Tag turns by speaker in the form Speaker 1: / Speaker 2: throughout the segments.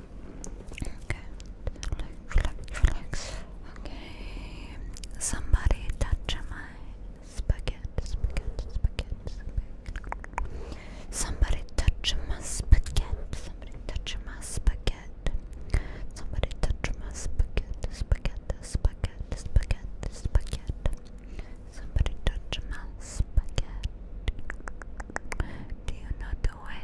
Speaker 1: Okay, relax, relax, Okay, somebody touch my spaghetti, spaghetti, spaghetti, spaghetti. Somebody touch my spaghetti, somebody touch my spaghetti. Somebody touch my spaghetti, spaghetti, spaghetti, spaghetti, spaghetti. Somebody touch my spaghetti. Do you know the way?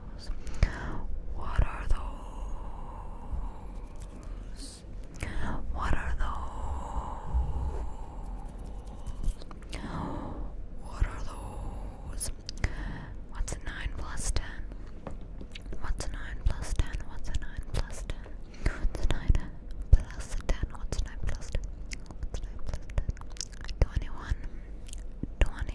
Speaker 2: those? What are those? What are those? What are those? What's a 9 plus 10? What's a 9 plus 10? What's a 9 plus 10? What's a 9 plus 10? What's a 9 plus 10? What's a 9 plus 10? 21. 21.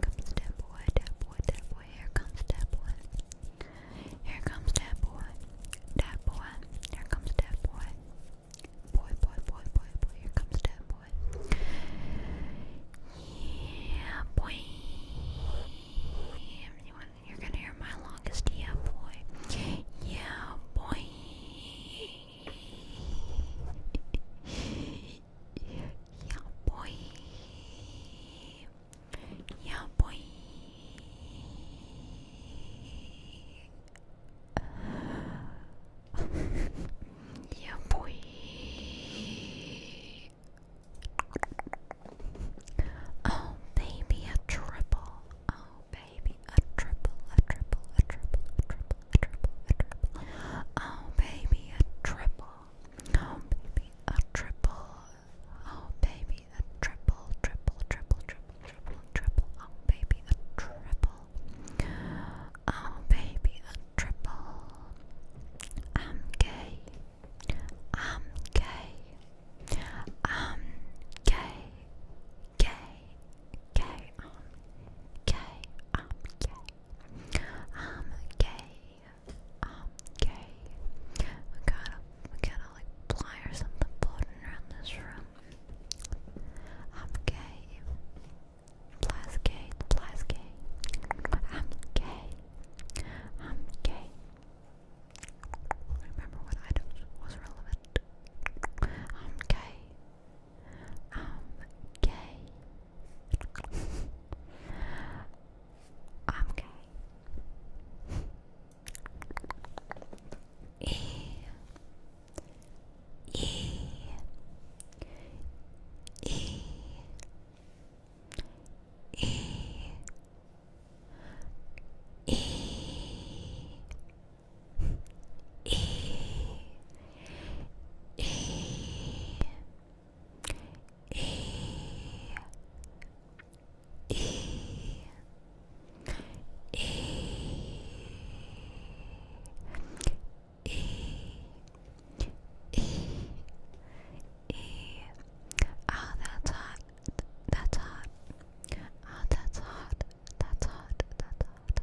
Speaker 3: comes that boy, that boy, that boy, here comes that boy. Here comes that boy, that boy, here comes that boy. Boy, boy, boy, boy, boy, here comes that boy. Yeah, boy. Everyone, you're gonna hear my longest yeah, boy. Yeah, boy.
Speaker 4: Yeah, boy. Yeah, boy. yeah, boy. Oh, baby, a triple. Oh, baby, a triple, a triple, a triple, a triple, a triple, a triple. Oh, baby, a triple. Oh baby, a triple. Oh baby, a triple, triple, triple, triple, triple, triple. Oh baby, a triple. Oh baby, a triple. I'm gay. I'm gay. I'm gay. Gay. Gay. I'm gay. I'm gay. I'm gay. I'm gay. We gotta, we gotta like something floating around this room. I'm gay. Flies gay. Flies gay. I'm gay. I'm gay. Remember what I was relevant. I'm gay. I'm gay. I'm gay. E E E E E E E E E E E E E
Speaker 5: Oh, ah, that's hot. That's hot. Oh, that's hot. That's hot. That's hot. That's hot.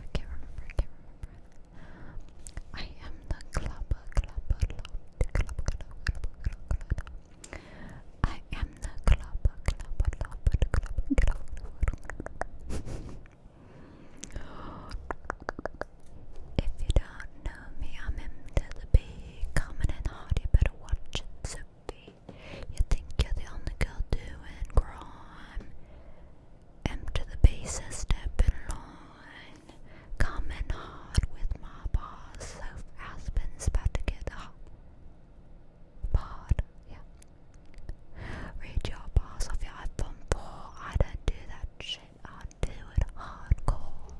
Speaker 5: I can't remember, I can't remember. I am the clubber, clubber, clubber, clubber, clubber, clubber. I am the clubber, clubber, clubber, clubber, clubber. If you don't know me, I'm into the bee, common and hard, you better watch it, Sophie. You think you're the only girl doing crime am the basest step in line. Come hard with my boss. So Aspen's about to get
Speaker 2: hot. Pod, yeah. Read your boss off your iPhone 4. I don't do that shit. I do it hardcore.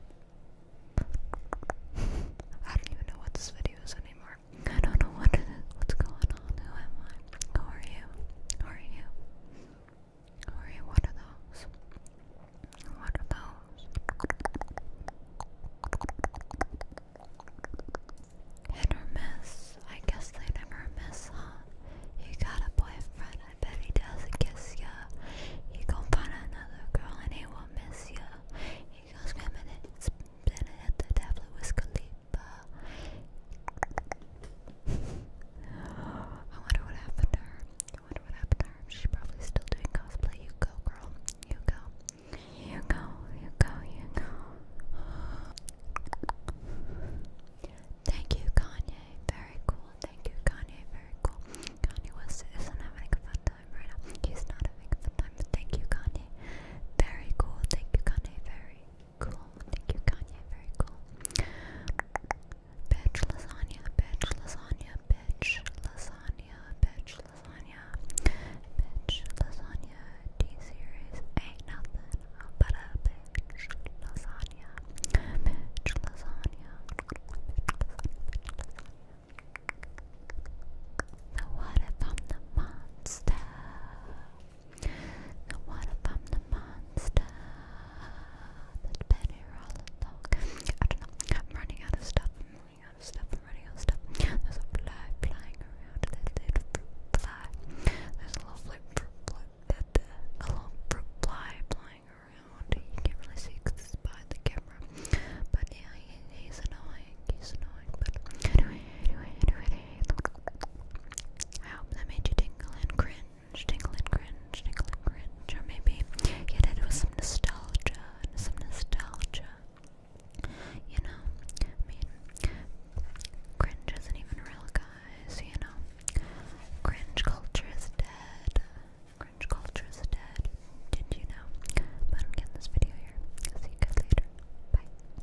Speaker 2: I don't even know what this video is anymore. I don't know what what's going on. Who am I? Who are you? Who are you? Sorry, what are those?
Speaker 5: What are those? Hit or miss? I guess they never miss, huh? You got a boyfriend, I bet he doesn't kiss ya. You gon' find another girl and he won't miss ya. He goes swimming and spinning at the tablet with Khalid. I wonder what happened to her. I wonder what happened to her. She's probably still doing cosplay. You go, girl. You go. You go. You go. You go. Thank you, Kanye. Very cool. Thank you, Kanye. Very cool. Kanye West isn't having a fun time right now. He's not having a fun time. Thank you, Kanye. Very cool. Thank you, Kanye. Very Cool. Thank you, Kanye. Very cool. Bitch lasagna, bitch lasagna, bitch lasagna, bitch lasagna, bitch lasagna. D series ain't nothing but a bitch lasagna, bitch lasagna, bitch what if I'm the monster? what if I'm the monster that Betty Rollins dog? I don't know. I'm running out of stuff. I'm running out of stuff. I'm running out of stuff. There's a fly flying around. There's a fly. That uh, a long fly flying around. You can't really see it's behind the camera. But yeah, he's annoying. He's annoying. But I hope that made you tingle and cringe, tingle and cringe, tingle and cringe, or maybe you did it with some nostalgia, some nostalgia. You know, I mean, cringe isn't even real, guys. You know, cringe culture is dead. Cringe culture is dead. Did you know? I'm getting this video here. See you guys later. Bye.